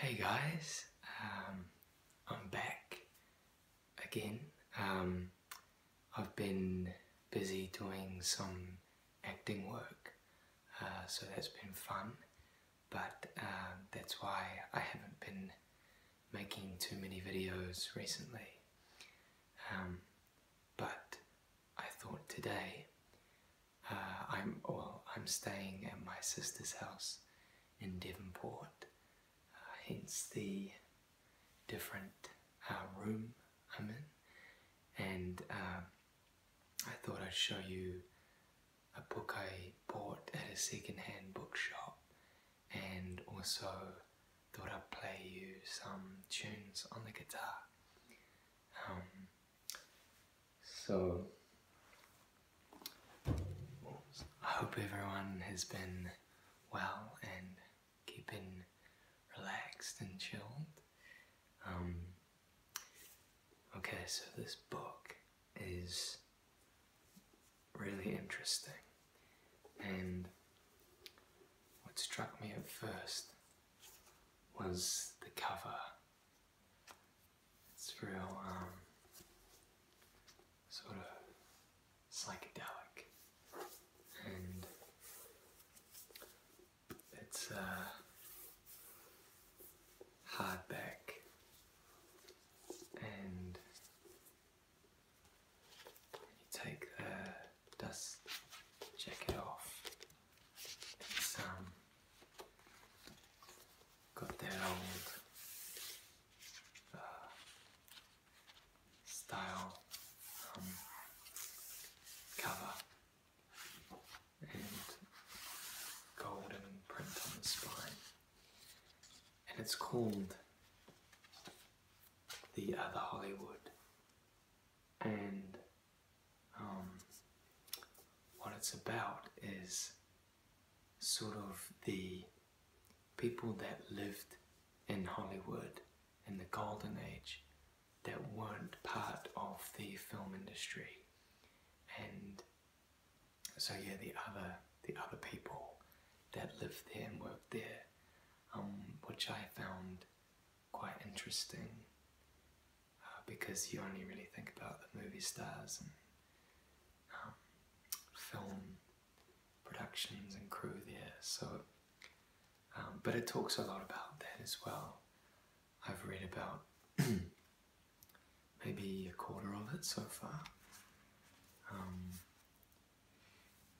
Hey guys, um, I'm back again. Um, I've been busy doing some acting work, uh, so that's been fun, but uh, that's why I haven't been making too many videos recently. Um, but I thought today uh, I'm well, I'm staying at my sister's house in Devonport, uh, hence the different uh, room I'm in, and um, I thought I'd show you a book I bought at a second-hand bookshop, and also thought I'd play you some tunes on the guitar. Um, so, I hope everyone has been well and keeping relaxed and chilled. Um, okay, so this book is really interesting. And what struck me at first was the cover it's real, um, sort of psychedelic. And it's uh, hardback and you take the dust jacket off it's um, got their old uh, style um, cover and golden print on the spine, and it's called The Other Hollywood and um, what it's about is sort of the people that lived in Hollywood in the golden age that weren't part of the film industry. And so yeah, the other the other people that lived there and worked there, um, which I found quite interesting uh, because you only really think about the movie stars and um, film productions and crew there. So, um, but it talks a lot about that as well. I've read about maybe a quarter of it so far. Um,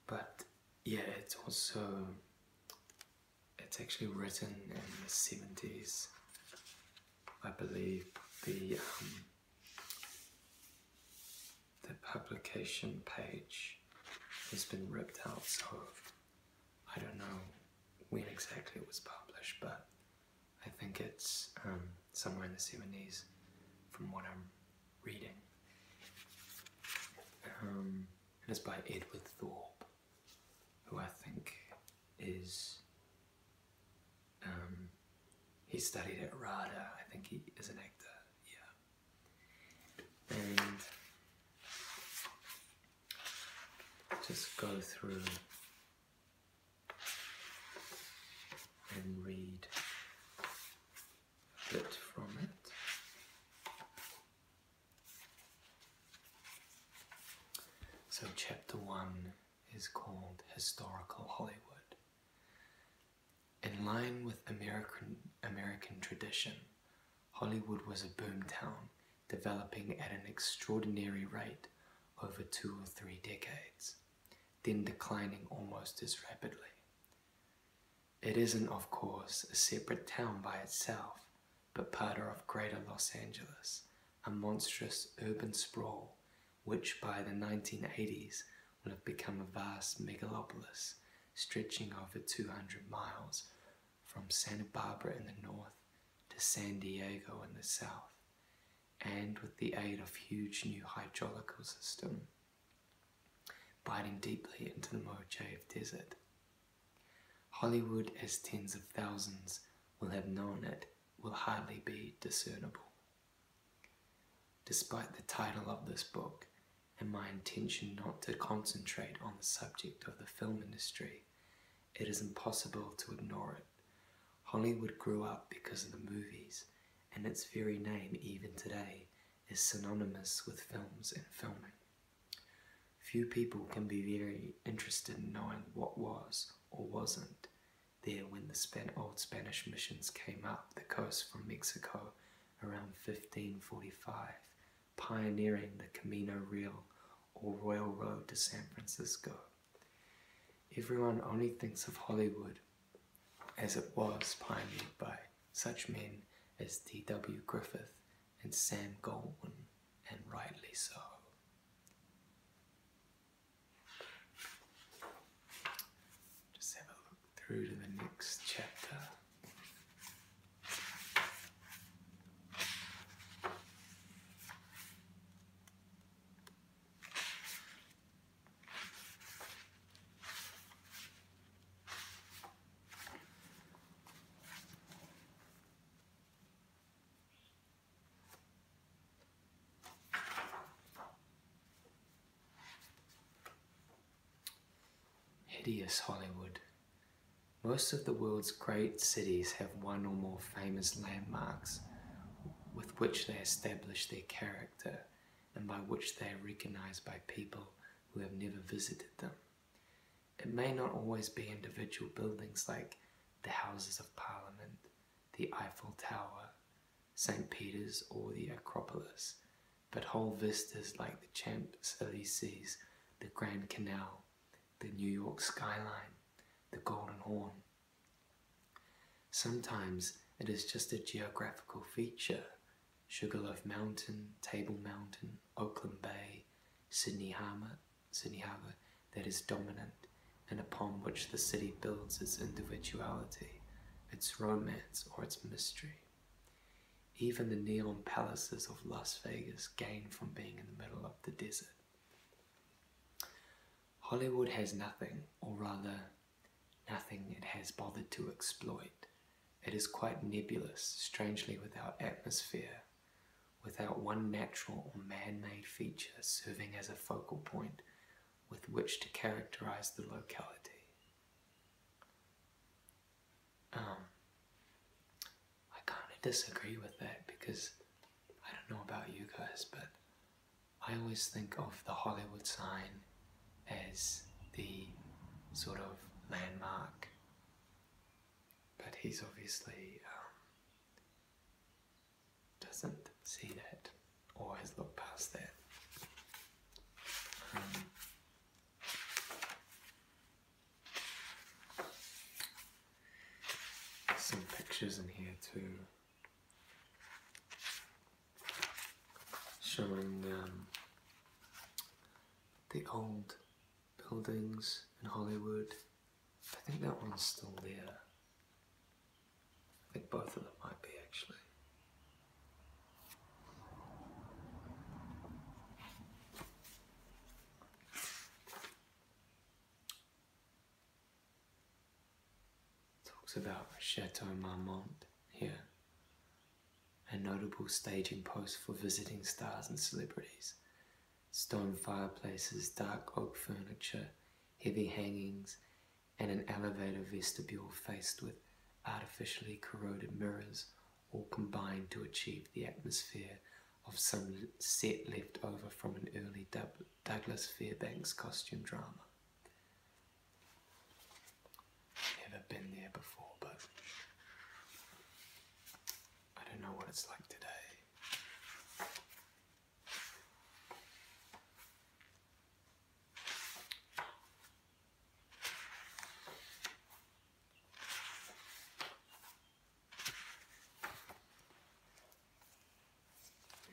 but yeah, it's also it's actually written in the 70s. I believe the um, the publication page has been ripped out, so I don't know when exactly it was published, but I think it's um, somewhere in the 70s from what I'm reading. Um, it is by Edward Thorpe who I think is. Um, he studied at RADA, I think he is an actor, yeah. And just go through and read a bit from it. So, chapter one is called Historical Hollywood. In line with American, American tradition, Hollywood was a boomtown, developing at an extraordinary rate over two or three decades, then declining almost as rapidly. It isn't, of course, a separate town by itself, but part of Greater Los Angeles, a monstrous urban sprawl which by the 1980s would have become a vast megalopolis stretching over 200 miles from Santa Barbara in the north to San Diego in the south, and with the aid of huge new hydrological system biting deeply into the Mojave Desert. Hollywood, as tens of thousands will have known it, will hardly be discernible. Despite the title of this book and my intention not to concentrate on the subject of the film industry, it is impossible to ignore it. Hollywood grew up because of the movies, and its very name, even today, is synonymous with films and filming. Few people can be very interested in knowing what was or wasn't there when the old Spanish missions came up the coast from Mexico around 1545, pioneering the Camino Real or Royal Road to San Francisco. Everyone only thinks of Hollywood as it was pioneered by such men as D.W. Griffith and Sam Goldwyn, and rightly so. Just have a look through to the next chapter. Hideous Hollywood. Most of the world's great cities have one or more famous landmarks with which they establish their character and by which they are recognized by people who have never visited them. It may not always be individual buildings like the Houses of Parliament, the Eiffel Tower, St. Peter's, or the Acropolis, but whole vistas like the Champs Elysees, the Grand Canal, the New York skyline, the Golden Horn. Sometimes it is just a geographical feature Sugarloaf Mountain, Table Mountain, Oakland Bay, Sydney Harbour, Sydney Harbour that is dominant and upon which the city builds its individuality, its romance, or its mystery. Even the neon palaces of Las Vegas gain from being in the middle of the desert. Hollywood has nothing, or rather, nothing it has bothered to exploit. It is quite nebulous, strangely without atmosphere, without one natural or man made feature serving as a focal point with which to characterize the locality. Um, I kind of disagree with that because I don't know about you guys, but I always think of the Hollywood sign as the sort of landmark. But he's obviously um, doesn't see that or has looked past that. Um, some pictures in here too. showing um, the old buildings in Hollywood. I think that one's still there. I think both of them might be actually. Talks about Chateau Marmont here a notable staging post for visiting stars and celebrities. Stone fireplaces, dark oak furniture, heavy hangings, and an elevator vestibule faced with artificially corroded mirrors all combined to achieve the atmosphere of some set left over from an early Douglas Fairbanks costume drama. Never been there before, but I don't know what it's like today.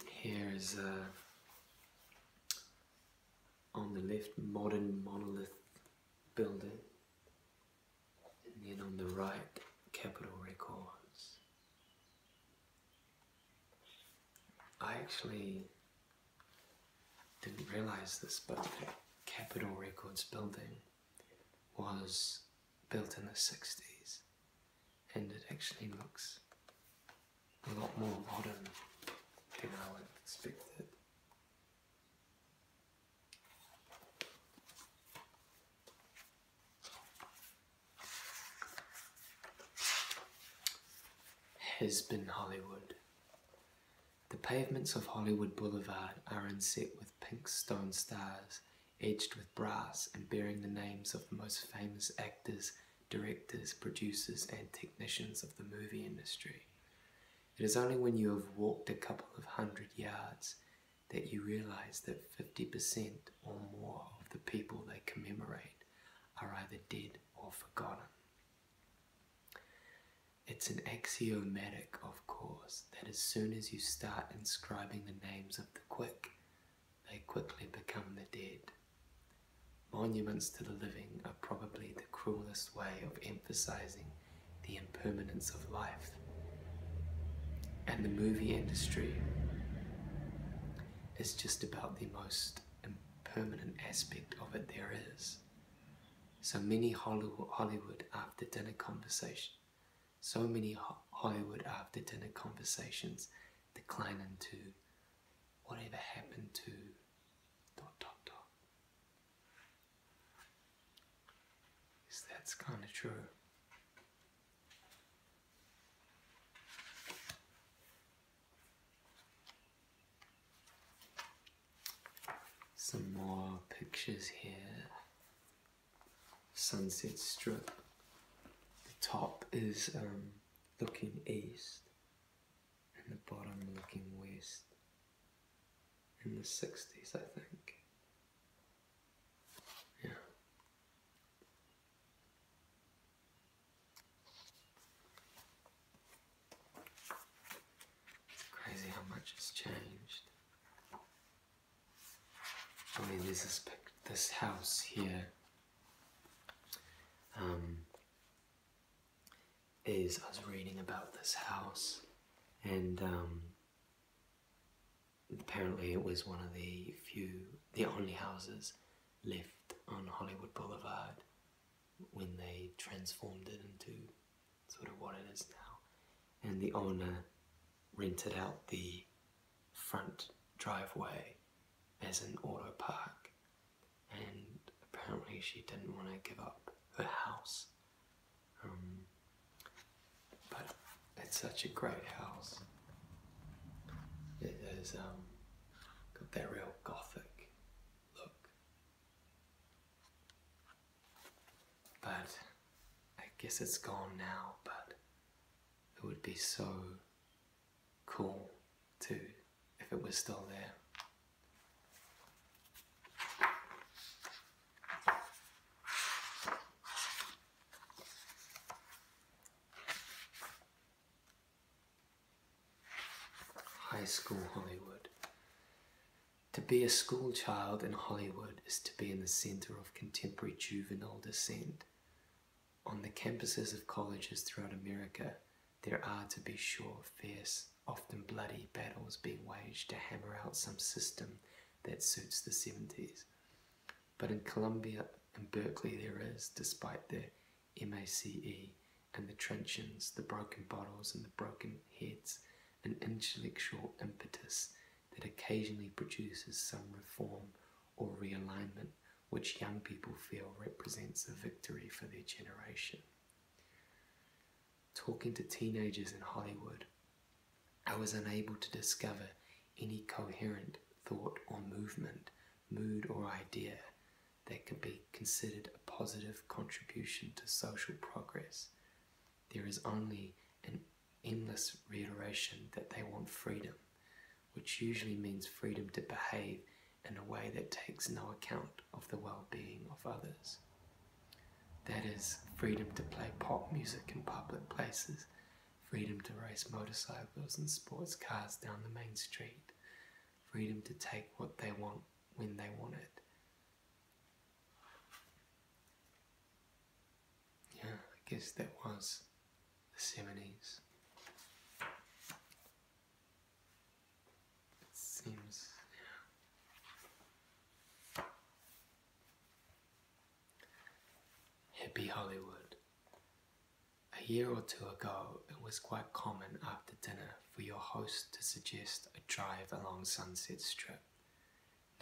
Here is a uh, on the left, modern monolith building. And then on the right, Capitol Records. I actually didn't realize this, but the Capitol Records building was built in the 60s and it actually looks a lot more modern than I would have expected. Has been Hollywood. The pavements of Hollywood Boulevard are inset with pink stone stars, edged with brass and bearing the names of the most famous actors directors, producers, and technicians of the movie industry. It is only when you have walked a couple of hundred yards that you realize that 50% or more of the people they commemorate are either dead or forgotten. It's an axiomatic, of course, that as soon as you start inscribing the names of the quick, they quickly become the dead. Monuments to the living are probably the cruelest way of emphasizing the impermanence of life. And the movie industry is just about the most impermanent aspect of it there is. So many Hollywood after dinner conversations, so many Hollywood after dinner conversations decline to whatever happened to dot dot dot. Is that's kind of true? Some more pictures here. Sunset Strip. The top is um, looking east, and the bottom looking west in the 60s, I think. Yeah. It's crazy how much has changed. I mean, this this, this house here. Um, is I was reading about this house, and um, apparently it was one of the few, the only houses left on Hollywood Boulevard when they transformed it into sort of what it is now. And the owner rented out the front driveway as an auto park and apparently she didn't want to give up her house. Um, but it's such a great house. It is um, got that real gothic look. But I guess it's gone now, but it would be so cool too if it was still there. High school Hollywood. To be a school child in Hollywood is to be in the center of contemporary juvenile descent. On the campuses of colleges throughout America, there are, to be sure, fierce, often bloody battles being waged to hammer out some system that suits the 70s. But in Columbia and Berkeley, there is, despite the MACE and the truncheons, the broken bottles, and the broken heads, an intellectual impetus that occasionally produces some reform or realignment, which young people feel represents a victory for their generation. Talking to teenagers in Hollywood, I was unable to discover any coherent thought or movement, mood or idea that could be considered a positive contribution to social progress. There is only an endless reiteration that they want freedom, which usually means freedom to behave in a way that takes no account of the well being of others. That is, freedom to play pop music in public places, freedom to race motorcycles and sports cars down the main street, freedom to take what they want when they want it. Yeah, I guess that was the Simonese. It seems, hippy Hollywood. A year or two ago, it was quite common after dinner for your host to suggest a drive along Sunset Strip.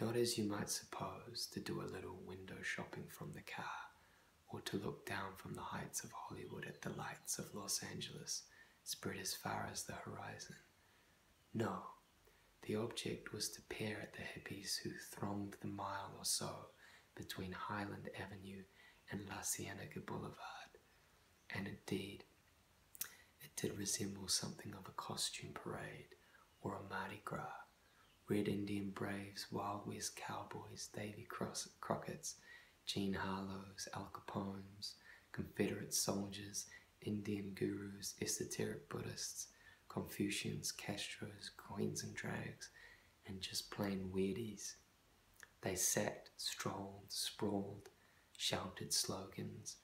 Not as you might suppose, to do a little window shopping from the car, or to look down from the heights of Hollywood at the lights of Los Angeles spread as far as the horizon. No, the object was to peer at the hippies who thronged the mile or so between Highland Avenue and La Cienega Boulevard, and indeed, it did resemble something of a costume parade or a Mardi Gras. Red Indian Braves, Wild West Cowboys, Davy Cross- Crockett's, Jean Harlow's, Al Capone's, Confederate soldiers, Indian gurus, esoteric Buddhists, Confucians, Castros, Queens and Drags, and just plain weirdies. They sat, strolled, sprawled, shouted slogans,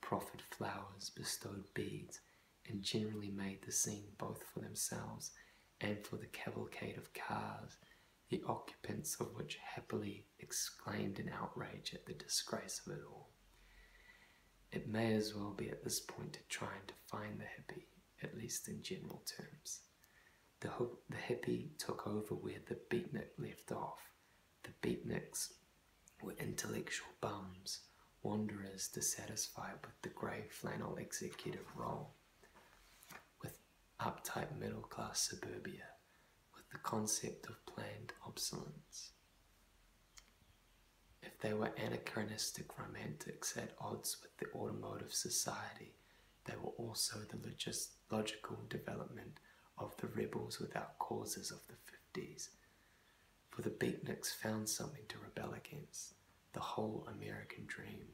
proffered flowers, bestowed beads, and generally made the scene both for themselves and for the cavalcade of cars, the occupants of which happily exclaimed in outrage at the disgrace of it all. It may as well be at this point to try and define the hippie, at least in general terms. The, hippie took over where the beatnik left off. The beatniks were intellectual bums Wanderers dissatisfied with the grey flannel executive role, with uptight middle class suburbia, with the concept of planned obsolescence. If they were anachronistic romantics at odds with the automotive society, they were also the logical development of the rebels without causes of the 50s, for the beatniks found something to rebel against the whole American dream,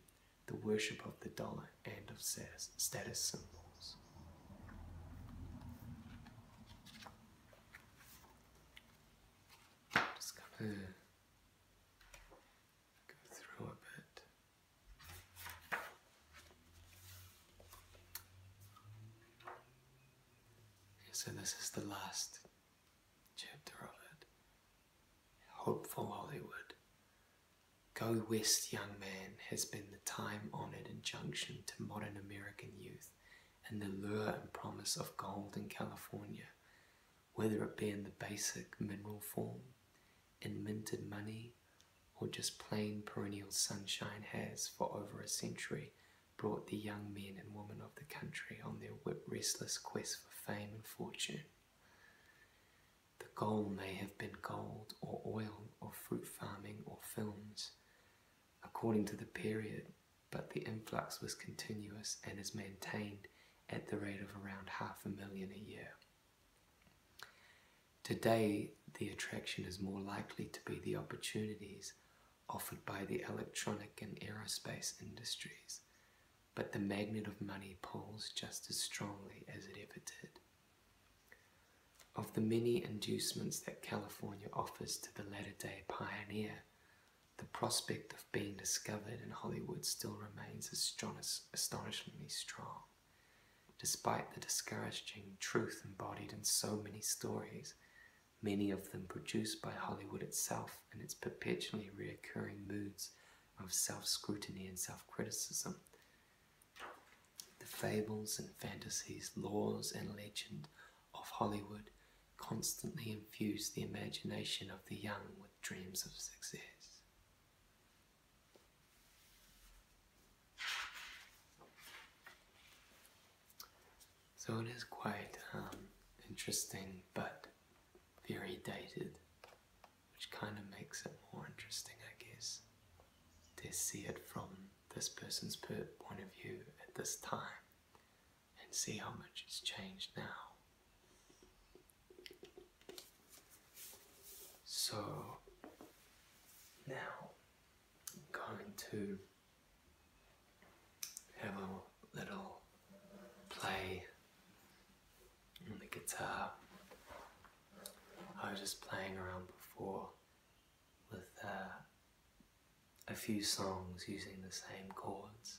the worship of the dollar and of status symbols. just gonna go through a bit. So this is the last chapter of it. Hopeful Hollywood. Go West, young man, has been the time honored injunction to modern American youth and the lure and promise of gold in California, whether it be in the basic mineral form, in minted money, or just plain perennial sunshine has for over a century brought the young men and women of the country on their restless quest fame and fortune. The goal may have been gold or oil or fruit farming or films, according to the period, but the influx was continuous and is maintained at the rate of around half a million a year. Today, the attraction is more likely to be the opportunities offered by the electronic and aerospace industries, but the magnet of money pulls just as strongly as it ever did. Of the many inducements that California offers to the latter day pioneer, the prospect of being discovered in Hollywood still remains astonishingly strong. Despite the discouraging truth embodied in so many stories, many of them produced by Hollywood itself and its perpetually reoccurring moods of self scrutiny and self criticism. The fables and fantasies, laws and legend of Hollywood constantly infuse the imagination of the young with dreams of success. So it is quite um, interesting, but very dated, which kind of makes it more interesting, I guess, to see it from this person's point of view at this time and see how much it's changed now. So now I'm going to have a little play on the guitar. I was just playing around before with uh, a few songs using the same chords.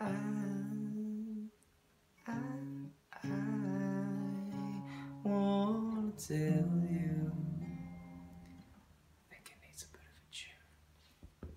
I, I, I want to tell you. I think it needs a bit of a tune.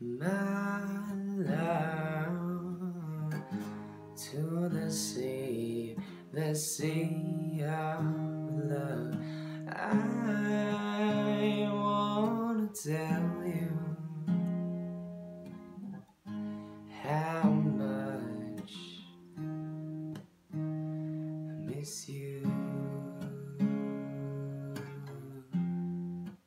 my love to the sea, the sea of love. I wanna tell you how much I miss you.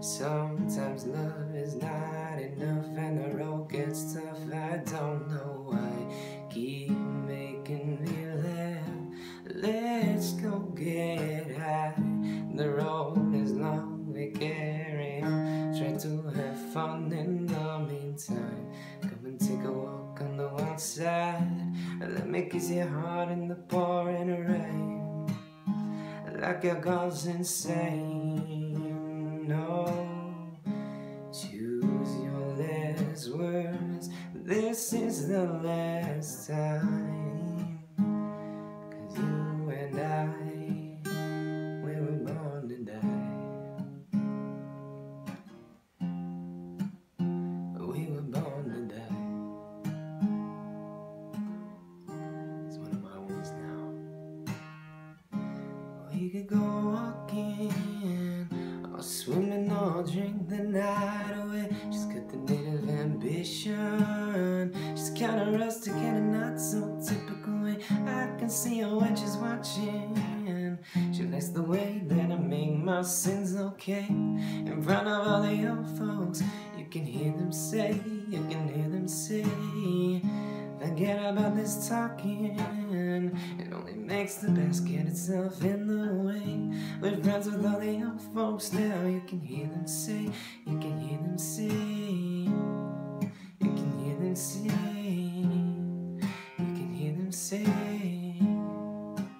Sometimes love is not enough, and the road gets tough. I don't know why. Keep making me laugh. Let's go get high. The road is long, we carry on. Try to have fun in the meantime. Come and take a walk on the outside. Let me kiss your heart in the pouring rain like I goes insane. No, choose your last words. This is the last time. you and I, we were born to die. We were born to die. It's one of my ones now. We could go walking, I'll or swimming, or drink the night away. She's got the native ambition. She's kinda rustic in a not so typical I can see her when she's watching. She likes the way that I make my sins look okay In front of all the young folks You can hear them say, you can hear them say Forget about this talking It only makes the basket itself in the way We're friends with all the young folks now You can hear them say, you can hear them say You can hear them say You can hear them say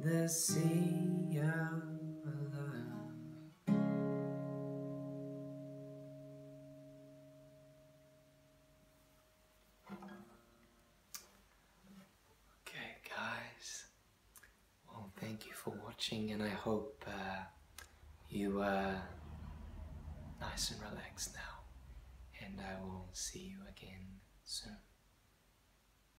the sea of love. Okay, guys. Well, thank you for watching, and I hope uh, you are uh, nice and relaxed now. And I will see you again soon.